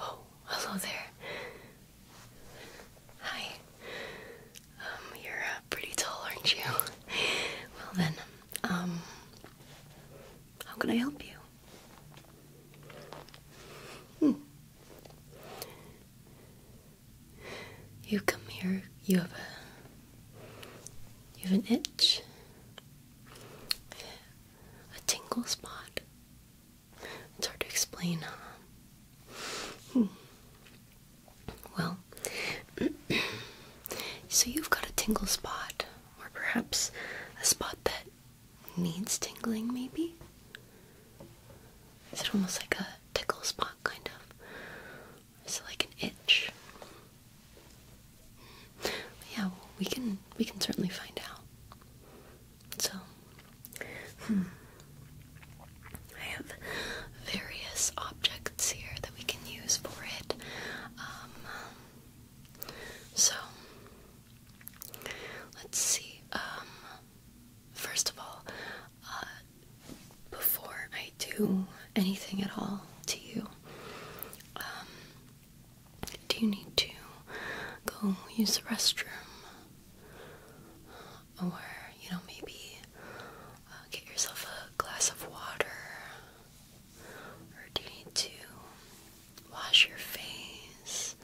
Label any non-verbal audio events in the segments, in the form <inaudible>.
Oh, hello there. Hi. Um, you're uh, pretty tall, aren't you? well then, um, how can I help you? Hmm. You come here, you have a you have an itch, a tingle spot. It's hard to explain, hmm. Well, <clears throat> so you've got a tingle spot, or perhaps a spot that needs tingling, maybe? Is it almost like a tickle spot, kind of? It's like an itch. Yeah, well, we can we can certainly find out. So, hmm. I have various objects here that we can use for it. Um, so, let's see. Um, first of all, uh, before I do anything at all to you, um, do you need to go use the restroom? Or, you know, maybe uh, get yourself a glass of water? Or do you need to wash your face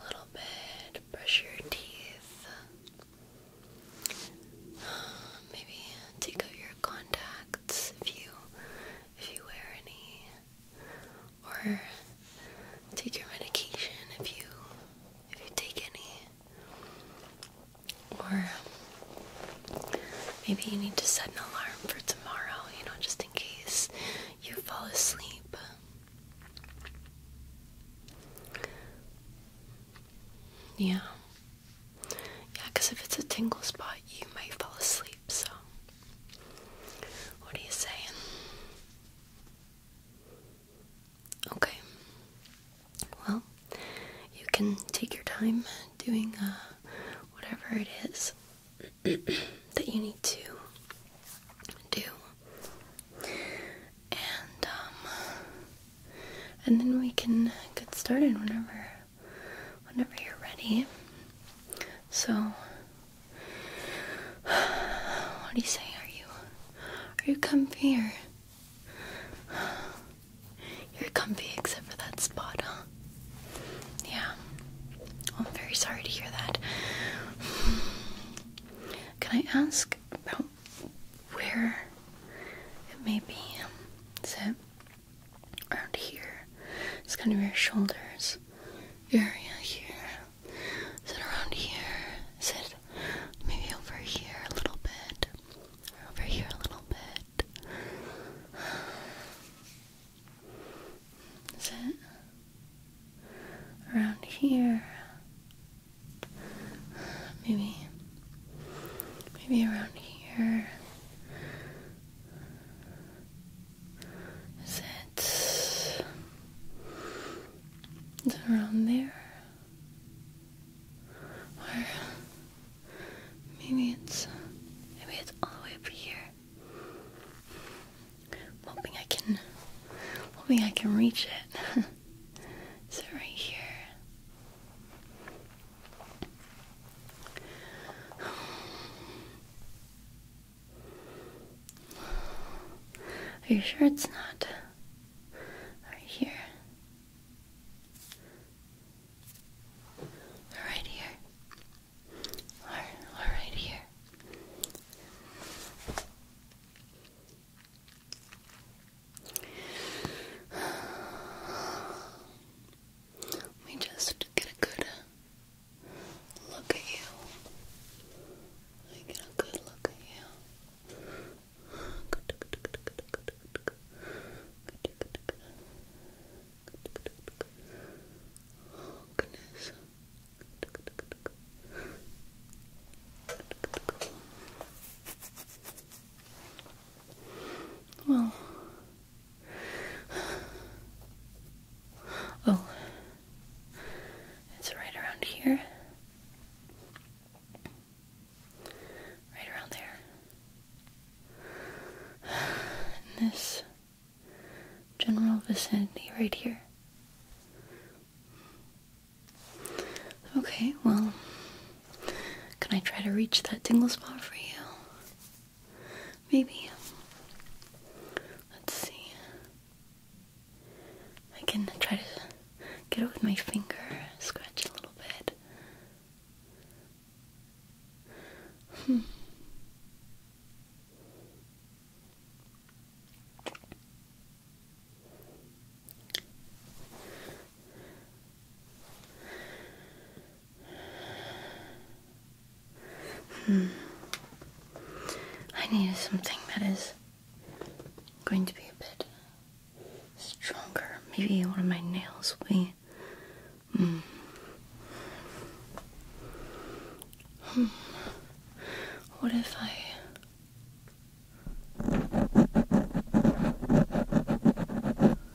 a little bit, brush your teeth? Uh, maybe take out your contacts if you if you wear any or take your medication if you if you take any or maybe you need to set an alarm for tomorrow you know just in case you fall asleep yeah yeah, because if it's a tingle spot, you might fall asleep, so. What are you saying? Okay. Well, you can take your time doing uh, whatever it is <clears throat> that you need to do. And, um, and then we can get started whenever whenever you're ready. So, what do you say? Are you are you comfy here? you're comfy except for that spot, huh? Yeah. I'm very sorry to hear that. Can I ask about where it may be? Is it around here. It's kind of your shoulders area here. Is it around here? Is it maybe over here a little bit? Over here a little bit. Is it around here? Maybe, maybe around here. Is it, is it around there? Or maybe it's maybe it's all the way up here. I'm hoping I can hoping I can reach it. <laughs> Is it right here? Are you sure it's not right here? Right here. right here. Let just uh, get a good look at you. Let get a good look at you. Oh goodness. Well, <sighs> Oh, it's right around here. Right around there. <sighs> In this general vicinity right here. Okay, well, can I try to reach that tingle spot for you? Maybe. Let's see. I can try to get it with my finger, scratch a little bit. Hmm. Hmm. I need something that is going to be a bit stronger. Maybe one of my nails will be. Hmm. hmm. What if I.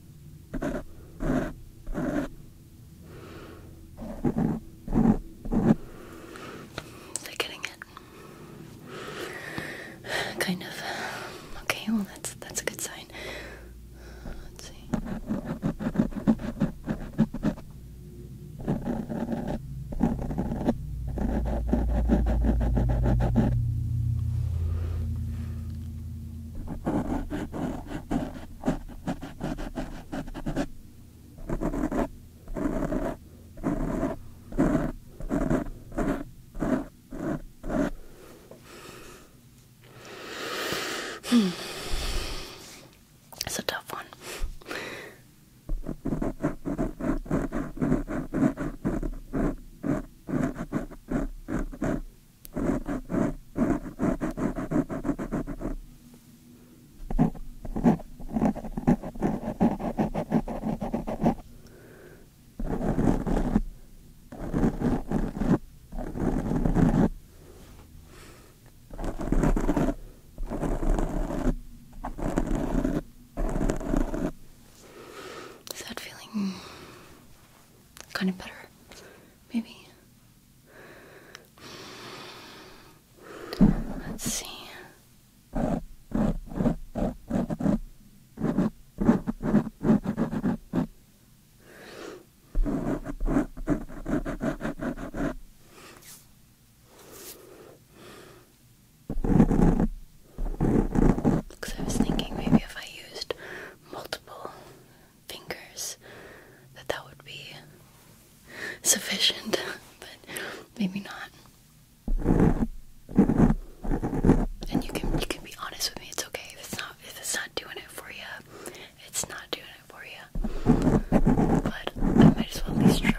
They're getting it. Kind of. Okay, well that's that's a good sign. Let's see. Hmm. It's a tough one. Is that feeling kind of better, maybe. Let's see. Because I was thinking maybe if I used multiple fingers, that that would be sufficient, <laughs> but maybe not. And you can you can be honest with me. It's okay if it's not if it's not doing it for you. It's not doing it for you. But I might as well at least try.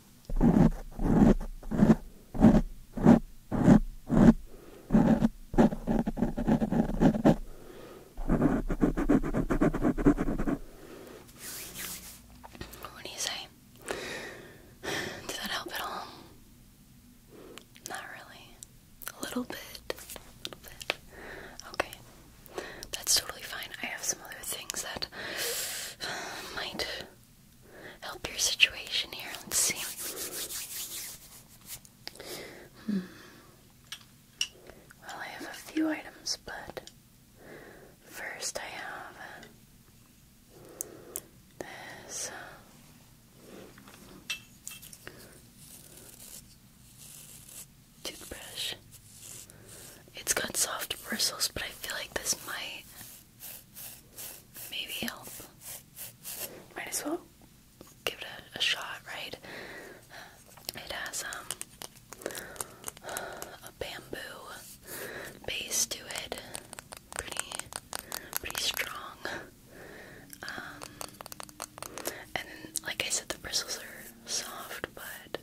What do you say? Did that help at all? Not really. A little bit. A little bit. Okay. That's totally fine. I have some other things that might help your situation here. Let's see. Hmm. Well, I have a few items, but first I have uh, this. Uh, toothbrush. It's got soft bristles, but I feel like this might maybe help. Might as well give it a, shot, right? It has um a bamboo base to it, pretty pretty strong. Um, and then, like I said, the bristles are soft, but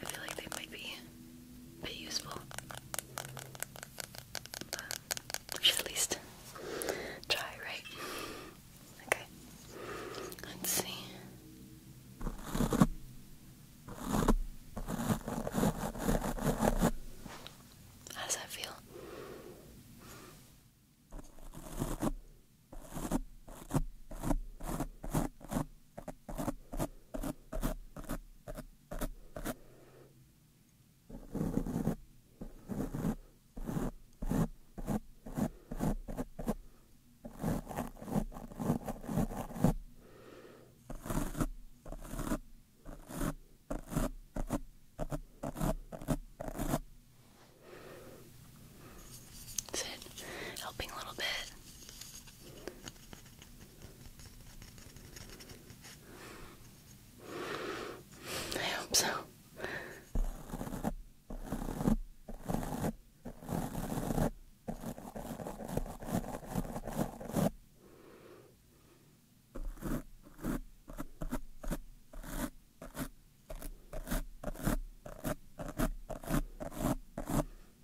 I feel like they might be a bit useful. But should at least try, right? Okay. Let's see. How that feel? Is it helping a little bit? I hope so.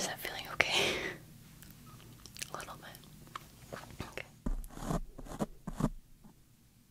Is that feeling okay? <laughs> A little bit. Okay.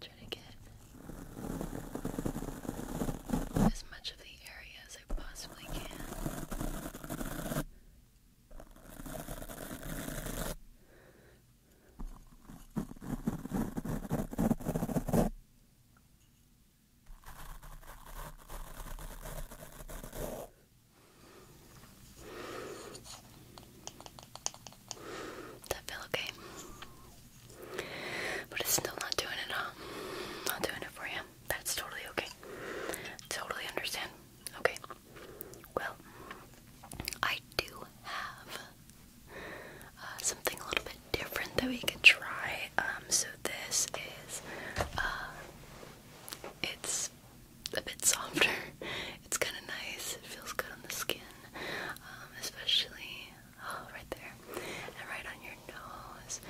trying to get as much of the area as I possibly can. That feel okay. But it's still not doing it, Not doing it for you. That's totally okay. Totally understand. Okay. Well, I do have uh, something a little bit different that we could try. Um, so this is, uh, it's a bit softer. <laughs> It's kind of nice. It feels good on the skin, um, especially oh, right there, and right on your nose.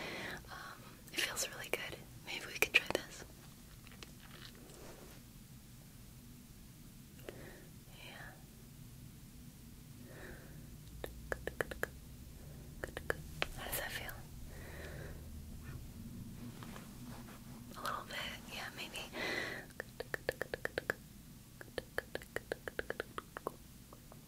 Um, it feels really good. Maybe we could try this. Yeah. Good, good, good, good, good, good, good, good, good, good, good, good, good, good, good,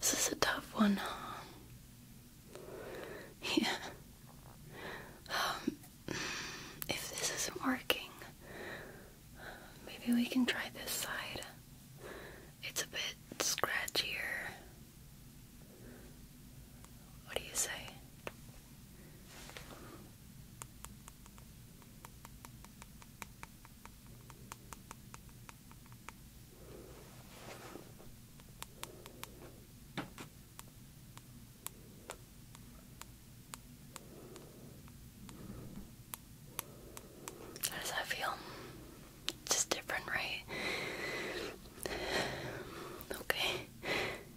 This is a tough one, huh? Yeah. Um, if this isn't working, maybe we can try this side. It's a bit scratchier. What do you say? How does that feel? Just different, right? <sighs> Okay.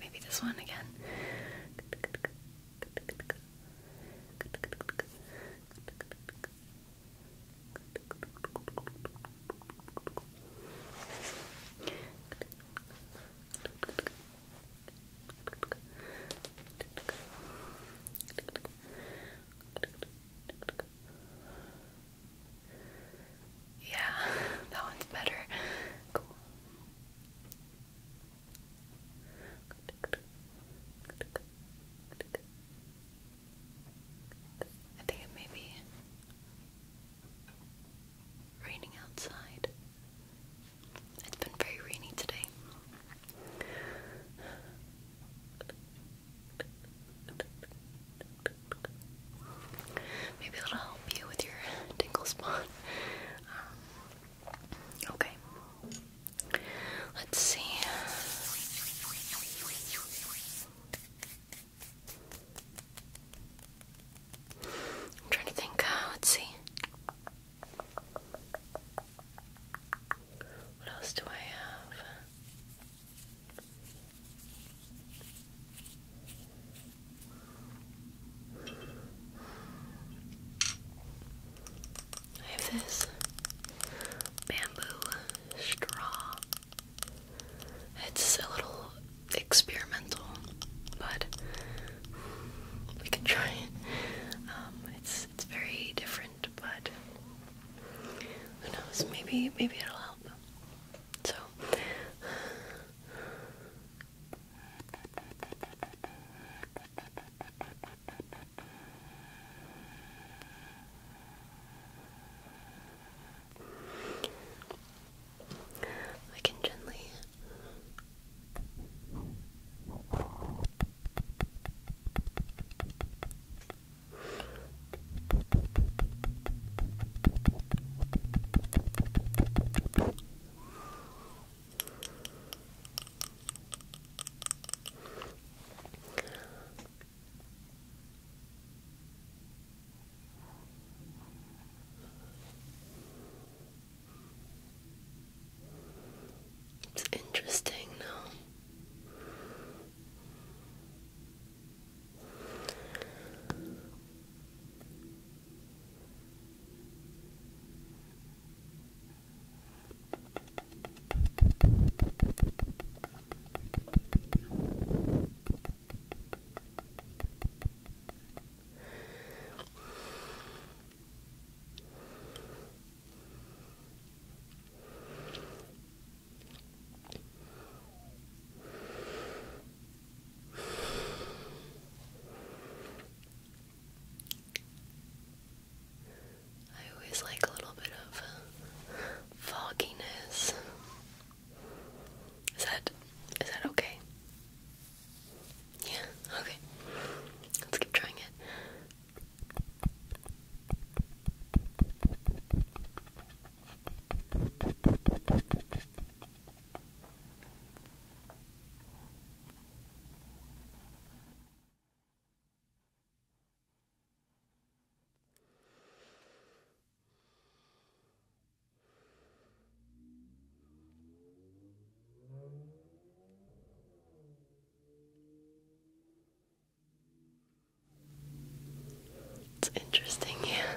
Maybe this one again. <laughs> Yeah, <laughs> that one's better. I think it may be raining outside. It's been very rainy today. Maybe it'll help you with your tingle spot. Um, okay. Let's see. I'm trying to think. Uh, let's see. What else do I have? I have this bamboo straw it's a little experimental, but we can try it. Um, it's it's very different, but who knows? Maybe maybe it'll help. So. We can gently it's interesting now. I always like a little bit of uh, fogginess is that is that okay? Yeah, okay. Let's keep trying it. It's interesting, yeah.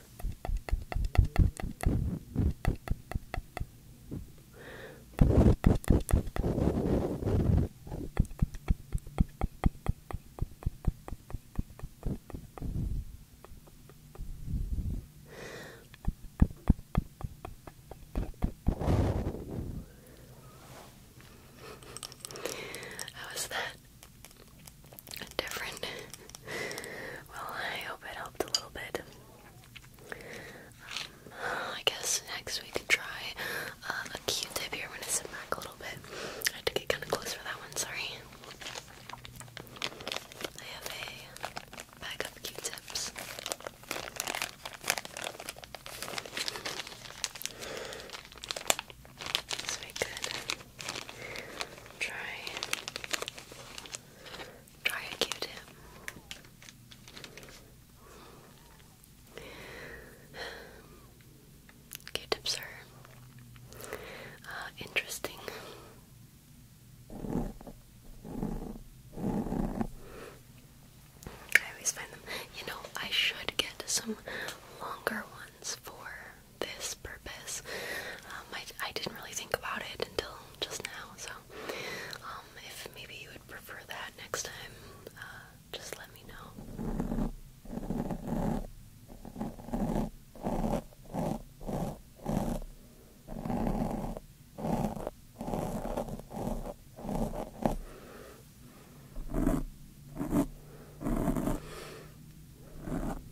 How is that? Different. well, I hope it helped a little bit. Um, I guess next we could try uh, a Q-tip here. When i sit back a little bit. I had to get kind of close for that one. Sorry. I have a bag Q-tips. So we could try Try a Q-tip. Q-tips are uh, interesting. I always find them. You know, I should get some longer ones for this purpose. Um, I, I didn't really think about it until just now. So, um, if maybe you would prefer that next time, uh, just let me know.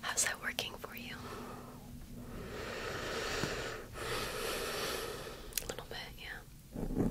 How's that working for you? A little bit, yeah.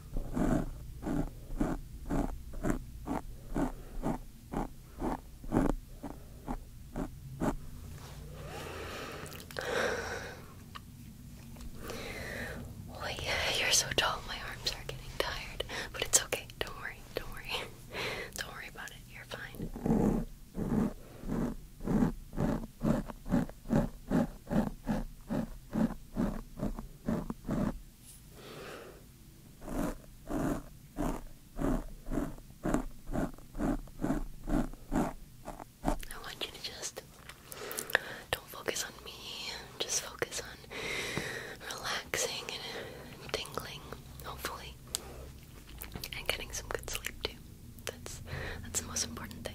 Oh you're so tall. My arms are getting tired, but it's okay. Don't worry. Don't worry. <laughs> Don't worry about it. You're fine. I want you to just don't focus on me, just focus on relaxing and tingling, hopefully, and getting some good sleep too. That's that's the most important thing.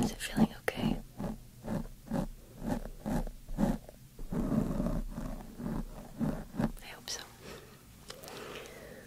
Is it feeling okay? I hope so.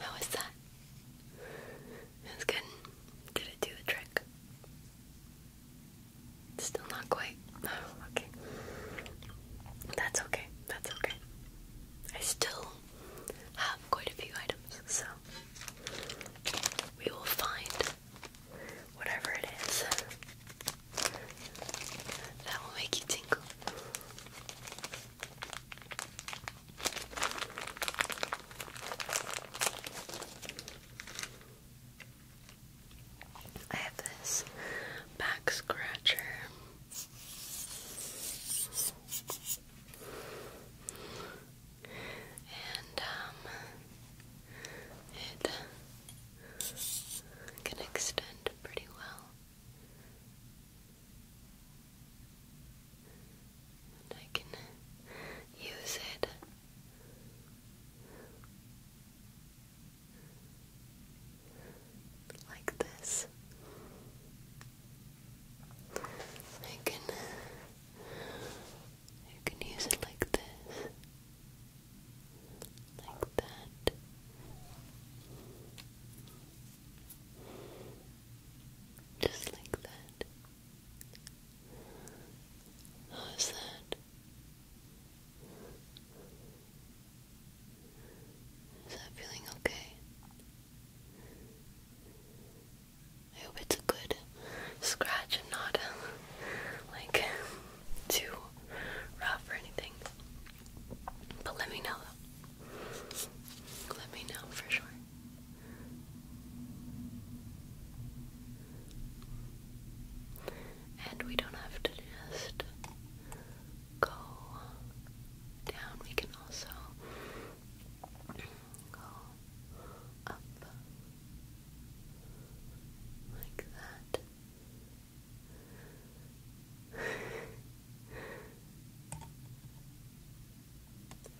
How was that? It good. Did it do the trick? Still not quite. Oh, <sighs> okay. That's okay. That's okay. I still have quite a few items, so we will find whatever it is that will make you tingle. I have this back scratcher. And um, it can extend pretty well. I can use it like this. You can you can use it like this. Like that. Just like that. How's that? Is that feeling okay? I hope it's a good scratch and not <laughs> like too rough or anything. But let me know Let me know for sure. And we don't have to just go down, we can also go up like that.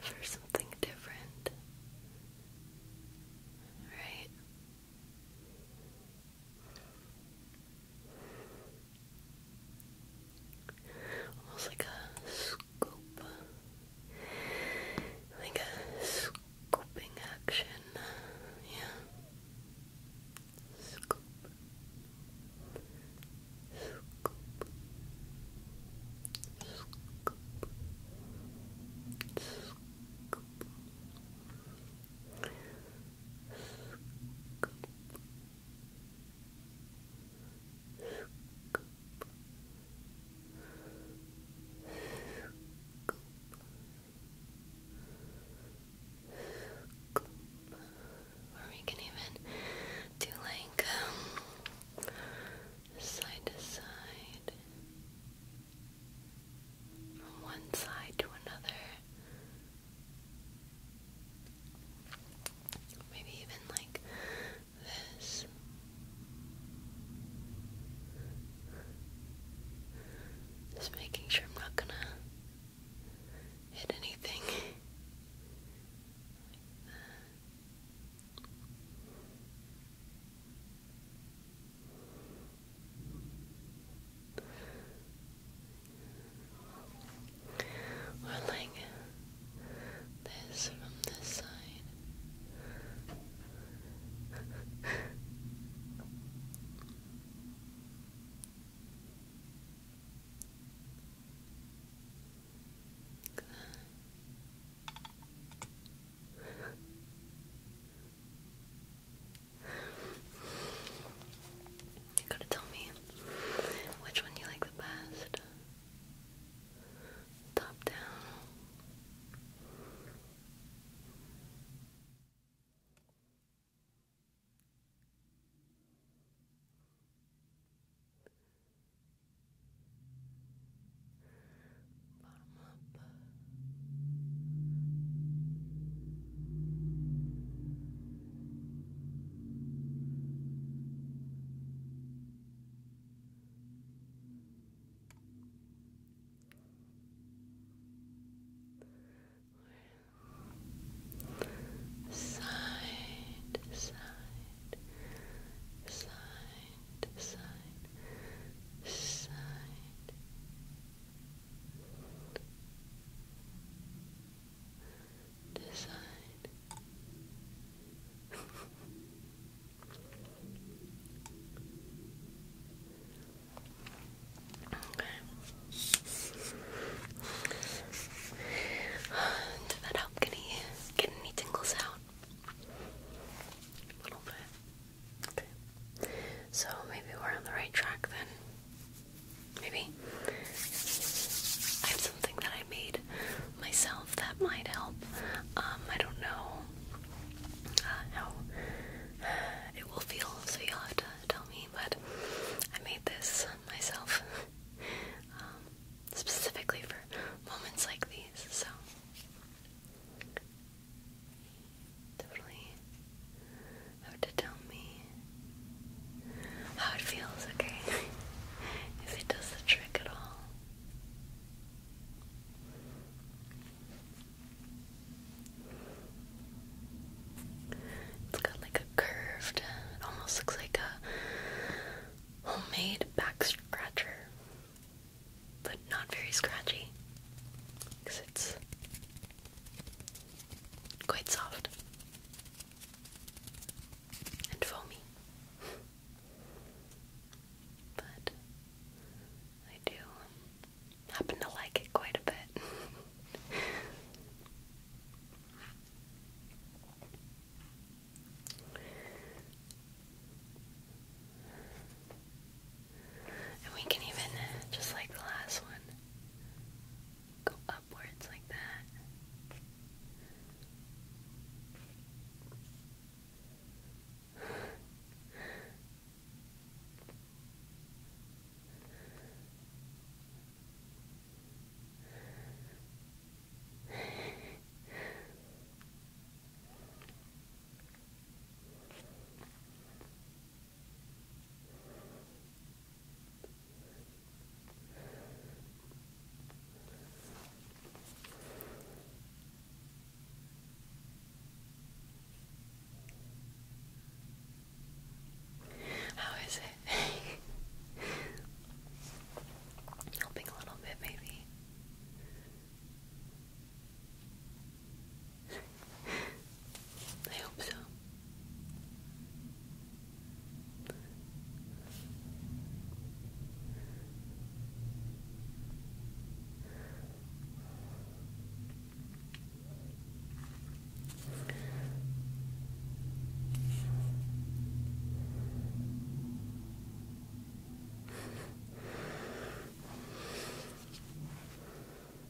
For something different, right? Almost like a scoop, like a scooping action. Yeah, scoop, scoop, scoop, scoop. Scoop. Scoop. Or we can even do like um, side to side from one side to another. Maybe even like this. Just making sure I'm not gonna hit anything. <laughs> We're like this from this side. You gotta tell me which one you like the best. Top down bottom up. Side, side, side, side, side, this <sighs> Did that help? Can he get any tingles out? A little bit. Okay. So maybe we're on the right track then. Maybe I have something that I made myself that might help. Um, I don't know uh, how <sighs> it will feel, so you'll have to tell me. But I made this myself <laughs> um, specifically for moments like these. So definitely have to tell me how it feels, okay? <laughs> if it does the trick at all. It's got like a curved, it almost looks like a homemade back scratcher but not very scratchy because it's quite soft and foamy. <laughs> but I do um, happen to like it quite a bit. And we can even, just like the last one, go upwards like that. How is it? <laughs> Helping a little bit, maybe. I hope so.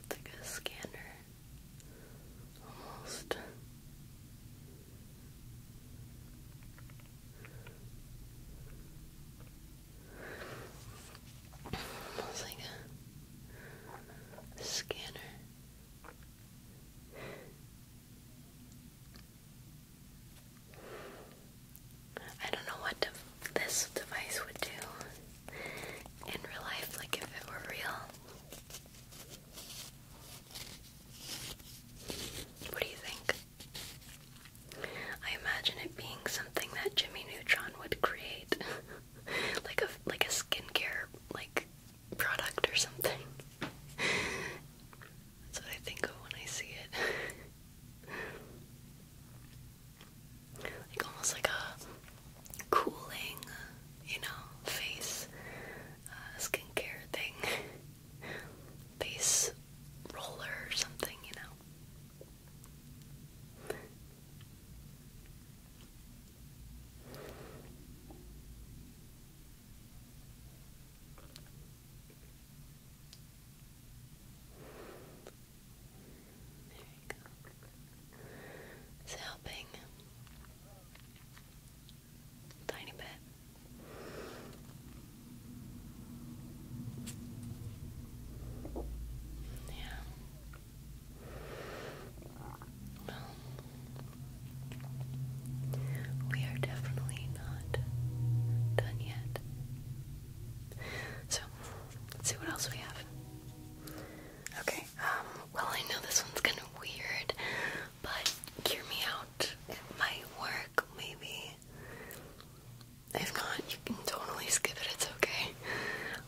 It's like a scanner, almost. Almost like a scanner. I don't know what this device would do in real life, like if it were real. What do you think? I imagine it being something that Jimmy Neutron would create, <laughs> like a like a skincare like product or something. <laughs> That's what I think of when I see it. <laughs> like almost like a cooling, you know, face uh, skincare thing, <laughs> face roller or something, you know. It's helping tiny bit. Yeah. Well, we are definitely not done yet. So, let's see what else we have. Okay, um, well, I know this one's kind of weird, but hear me out. It might work, maybe. If not, you can totally skip it, it's okay.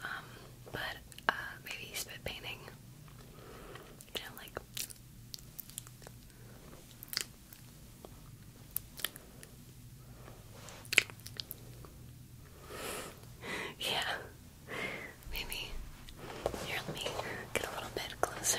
Um, but, uh, maybe spit painting. Yeah, Maybe. Here, let me get a little bit closer.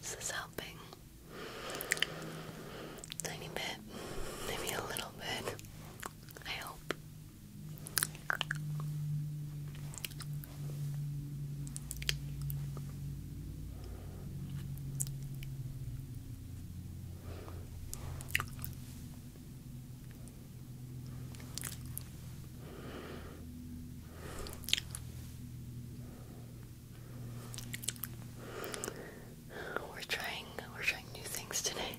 This is helping. Tiny bit, maybe a little bit. I hope. We're trying we're trying new things today.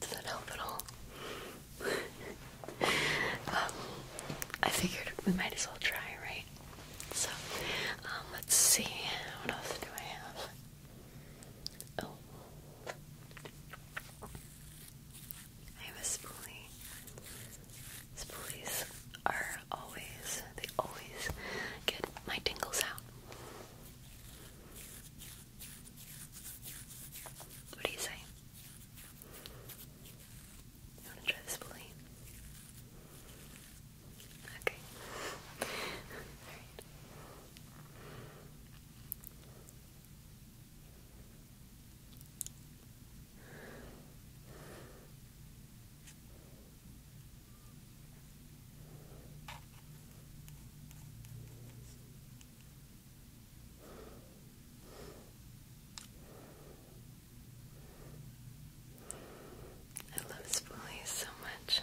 Does that help at all? <laughs> Um, I figured we might as well try, right? So, um, let's see. What else do I have? Oh. I have a spoolie. Spoolies are always, they always get my tingles out. What do you say? You want to try this spoolie? Okay. <laughs> Alright. I love Spoolie so much.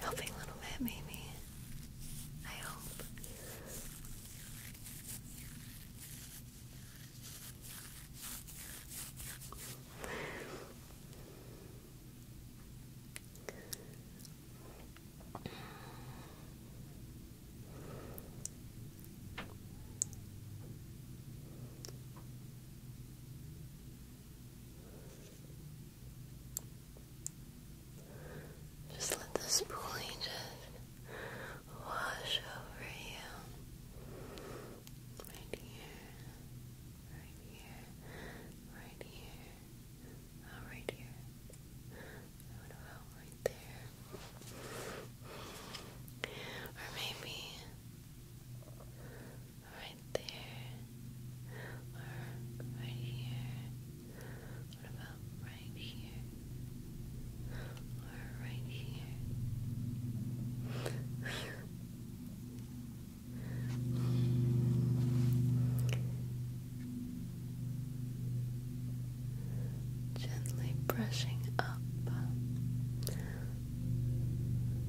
Helping a little bit, maybe. I hope. Just let the spoolie just wash over you. Right here, right here, right here, oh, right here. What about right there? Or maybe right there, or right here. What about right here, or right here? Gently brushing up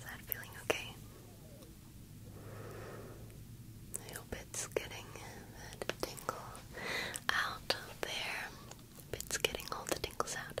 that feeling okay? I hope it's getting that tingle out there. it's getting all the tingles out.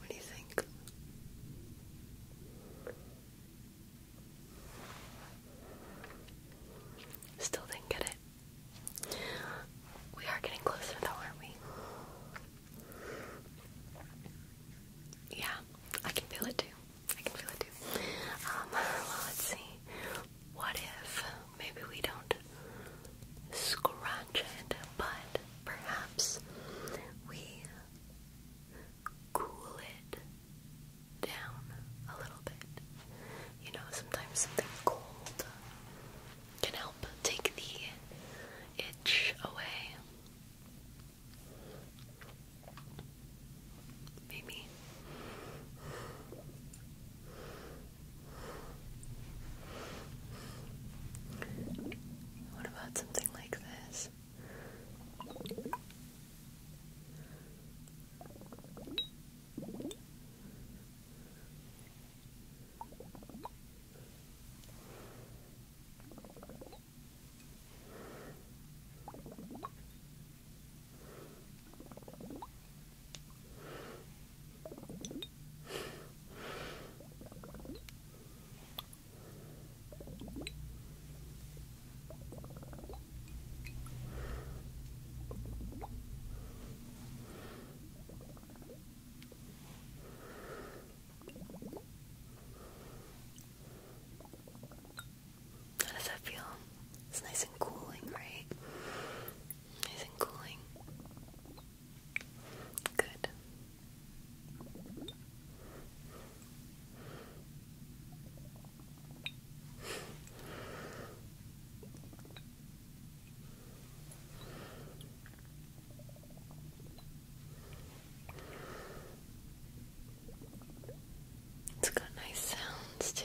What do you think? Still didn't get it. We are getting closer though, aren't we? Yeah, I can feel it too. I can feel it too. Um, <laughs> well, let's see what if maybe we don't scratch it, but perhaps we cool it down a little bit? You know, sometimes something cold can help take the itch away. Maybe. What about something like this? How does that feel? It's nice and cooling, right? Nice and cooling. Good. It's got nice sounds too.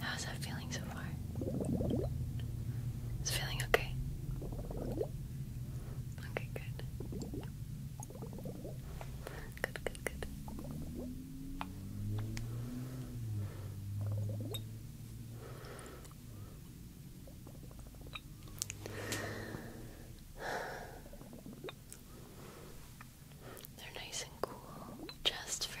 How's that feeling so far? It's feeling okay. Okay, good. Good, good, good. They're nice and cool just for you.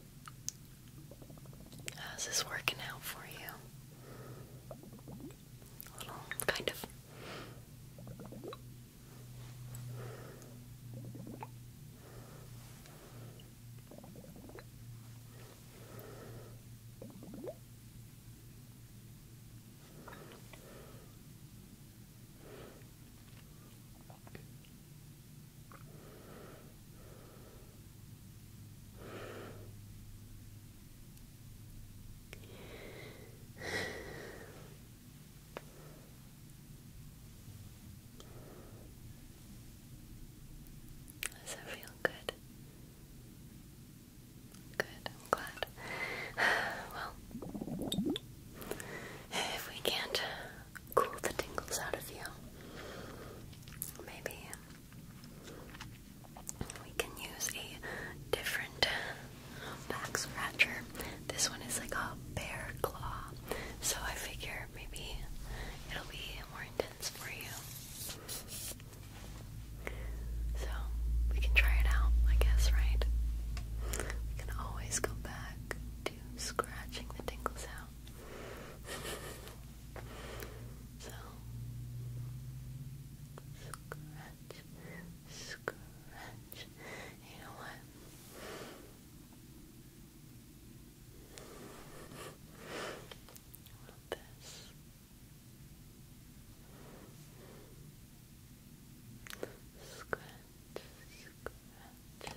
How's this working out for you? A little, kind of. Does that feel good? Good, I'm glad. <sighs> Well, if we can't cool the tingles out of you, maybe we can use a different back scratcher. This one is like a bear claw, so I figure maybe it'll be more intense for you. So we can try it out, I guess, right? We can always go back to scratching the tingles out. <laughs> So scratch, scratch. You know this? Scratch, scratch.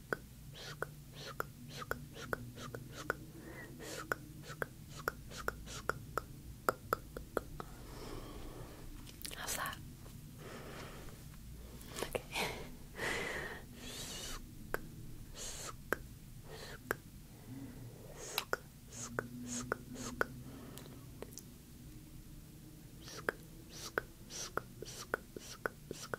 How's that? Okay. Sk sk sk sk sk sk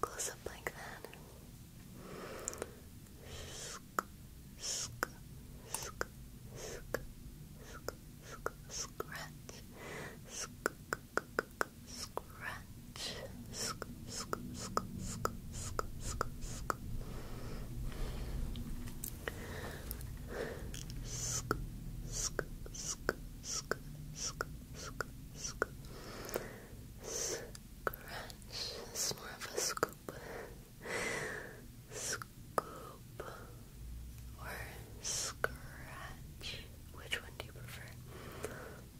Close up like that. Sk, sk, sk, sk, sk, sk, scratch. Sk, scratch. Sk, sk, sk, sk, scratch. It's more of a scoop. Scoop or scratch. Which one do you prefer?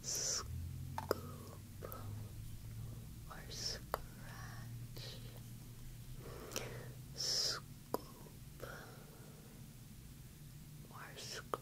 Scoop or scratch? Scoop or scratch? Scoop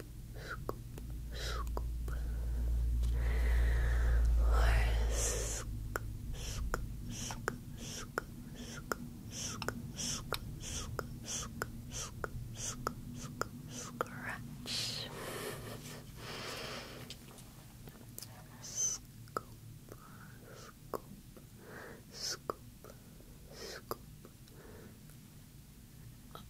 scoop, scoop, or scoop, scoop, scoop, scoop, scoop, scoop, scoop, scoop, scoop, scoop, scoop, scoop, scratch. Scoop, scoop, scoop, scoop.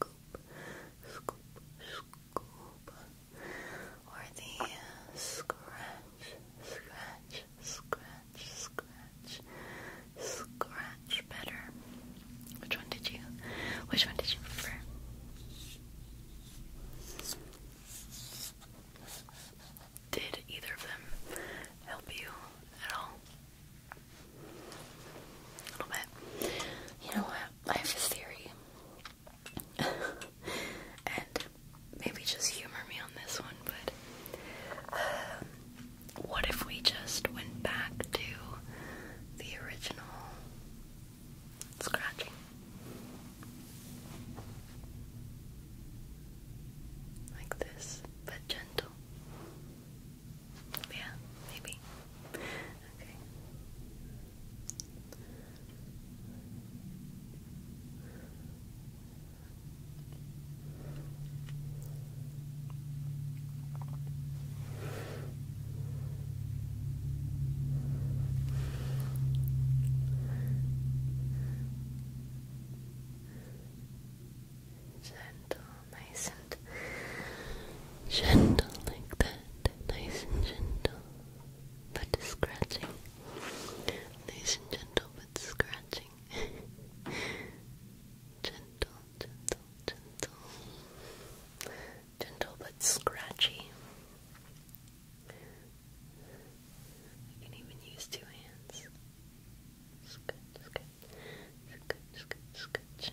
or the scratch, scratch, scratch, scratch, scratch better. Which one did you? Which one did you prefer? Did either of them help you at all? A little bit. You know what? I have a theory. <laughs> and maybe just humor me on this one, but um, what if we just went back to the original scratching? Like this, but gentle. Yeah, maybe. Okay. Gentle gentle like that. Nice and gentle. But scratching. Nice and gentle but scratching. <laughs> gentle, gentle, gentle. Gentle but scratchy. I can even use two hands. Scratch, scratch, scratch, scratch, scratch.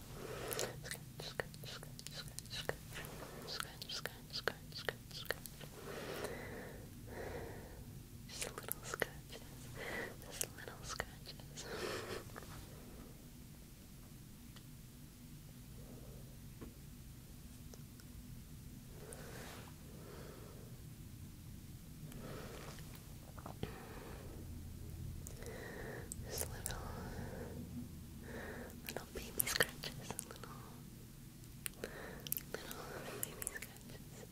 Just a little scratches. Just little scratches. Just little, little baby scratches, little, little baby scratches,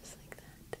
just like that. Just like uh, that.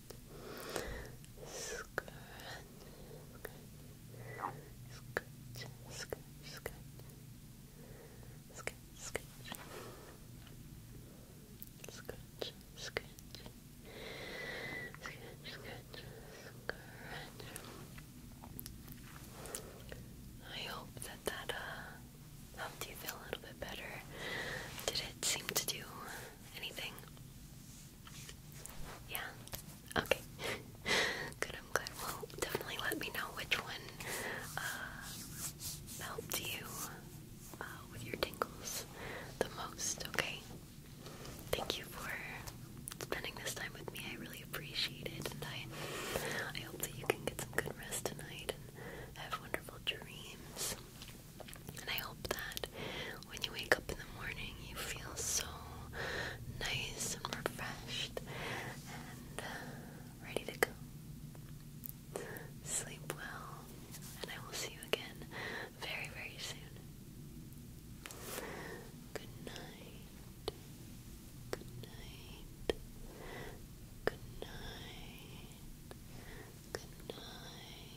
Scratch, scratch, scratch, scratch, scratch, scratch, scratch, scratch, scratch, scratch, I hope that that uh, helped you feel a little bit better. Did it seem to do anything? Yeah? Okay. <laughs> good, I'm glad. Well, definitely let me know which one uh, helped you uh, with your tingles the most, okay? Thank you for spending this time with me. I really appreciate it, and I, I hope that you can get some good rest tonight and have wonderful dreams. And I hope that when you wake up in the morning, you feel so nice and refreshed and uh, ready to go. Sleep well, and I will see you again very, very soon. Good night. Good night. Good night. Good night.